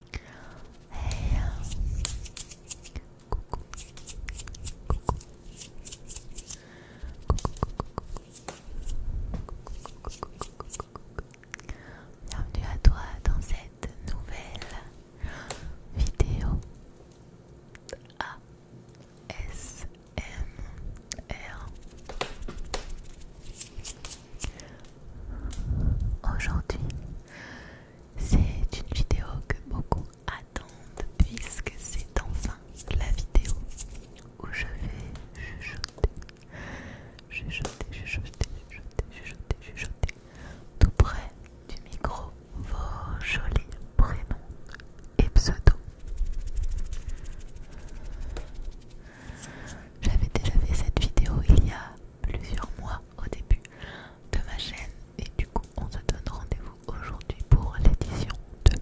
Hey, coucou, coucou, bienvenue à toi dans cette nouvelle vidéo A S M ASMR. Aujourd'hui, c'est une vidéo que beaucoup attendent puisque c'est enfin la vidéo où je vais chuchoter, chuchoter, chuchoter, chuchoter, chuchoter, chuchoter, tout près du micro vos jolis prénoms et pseudos. J'avais déjà fait cette vidéo il y a plusieurs mois au début de ma chaîne et du coup on se donne rendez-vous aujourd'hui pour l'édition 2.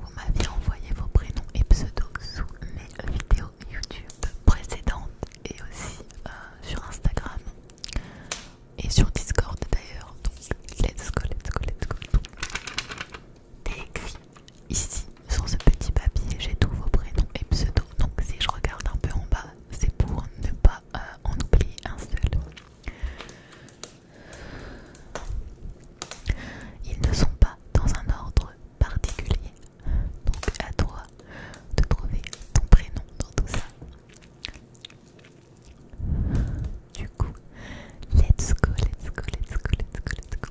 Vous m'aviez envoyé vos prénoms et pseudos sous mes vidéos YouTube précédentes et aussi euh, sur Instagram et sur Discord d'ailleurs. Donc let's go, let's go, let's go écrit ici sur ce petit papier j'ai tous vos prénoms et pseudos donc si je regarde un peu en bas c'est pour ne pas euh, en oublier un seul ils ne sont pas dans un ordre particulier donc à toi de trouver ton prénom dans tout ça du coup, let's go, let's go, let's go, let's go, let's go.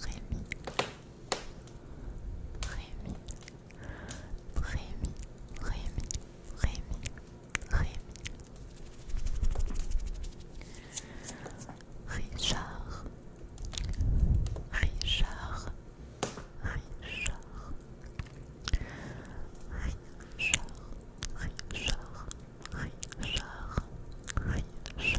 Rémi, Rémi, Rémi, Rémi, Rémi, Rémi, Rémi, Richard, Richard, Richard. Richard, Richard, Richard, Richard,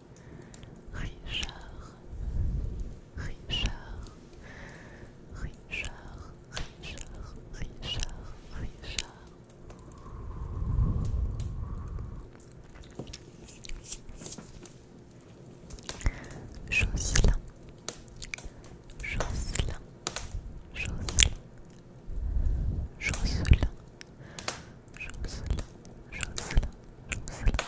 Richard, Richard, Richard, Richard, Richard, Richard. Jocelyn, Jocelyn, Jocelyn, Jocelyn, Jocelyn, Jocelyn, Jocelyn,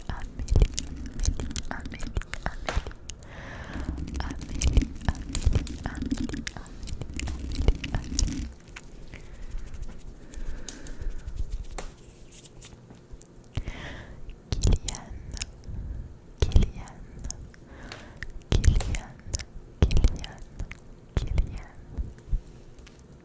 Amelie, Amelie, Amelie, Amelie, Amelie, Amelie, Amelie. Kylian, Kylian, Kylian, Kylian, Kylian,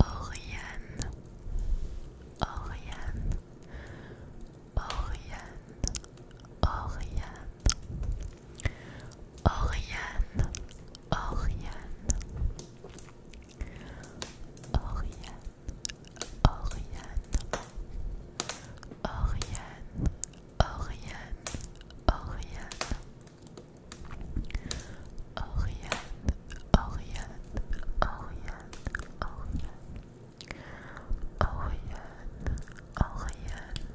Oriane, Oriane, Oriane, Oriane, Oriane, Oriane, Oriane, Oriane, Oriane, Oriane, Oriane. Oriane, Oriane, Oriane, Oriane, Oriane, Oriane, Oriane,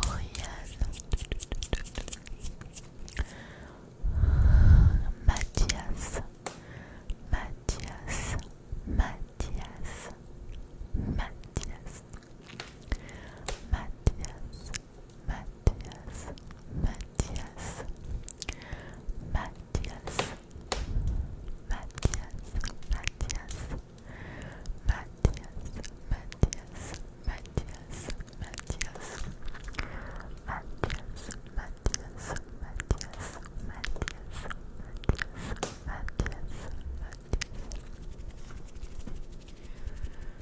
Oriane, Oriane, Mathias, Mathias, Mathias, Mathias. Mathias, Matthias, Matthias, Matthias, Matthias, Matthias, Matthias, Matthias, Matthias, Matthias, Matthias, Matthias, Matthias, Matthias, Matthias, Matthias, Matthias.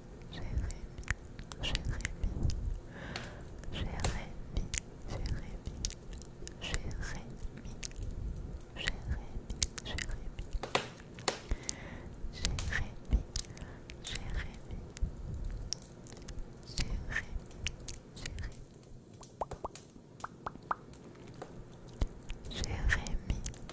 Jérémy, Jérémy, Jérémy, Jérémy, Jérémy, Jérémy, Jérémy. Jérémy, Jérémy, Jérémy,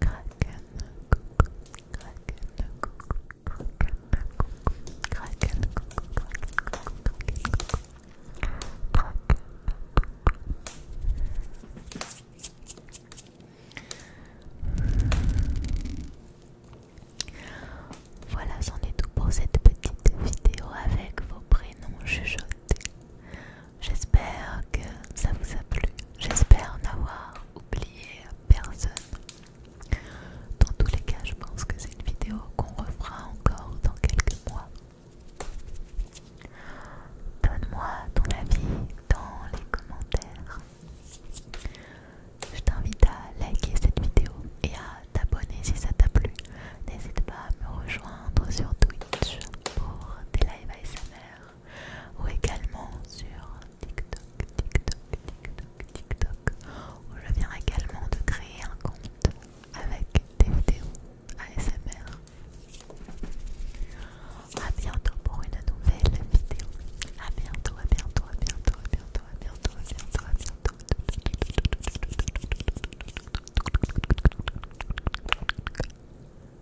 Kraken, coucou, Kraken, coucou, Kraken, coucou, Kraken, coucou, Kraken, Voilà, c'en est tout pour cette petite vidéo avec vos prénoms chuchotés. J'espère que ça vous a plu. J'espère n'avoir oublié personne. Dans tous les cas, je pense que c'est une vidéo qu'on refera encore dans quelques mois. Donne-moi ton avis dans les commentaires. Je t'invite à liker cette vidéo et à t'abonner si ça t'a plu. N'hésite pas à me rejoindre sur Twitch pour des lives ASMR ou également sur TikTok, TikTok, TikTok, TikTok, où je viens également de créer un compte avec des vidéos ASMR. A bientôt pour une nouvelle vidéo. A à bientôt, à bientôt, à bientôt, à bientôt, à bientôt, à bientôt. À bientôt.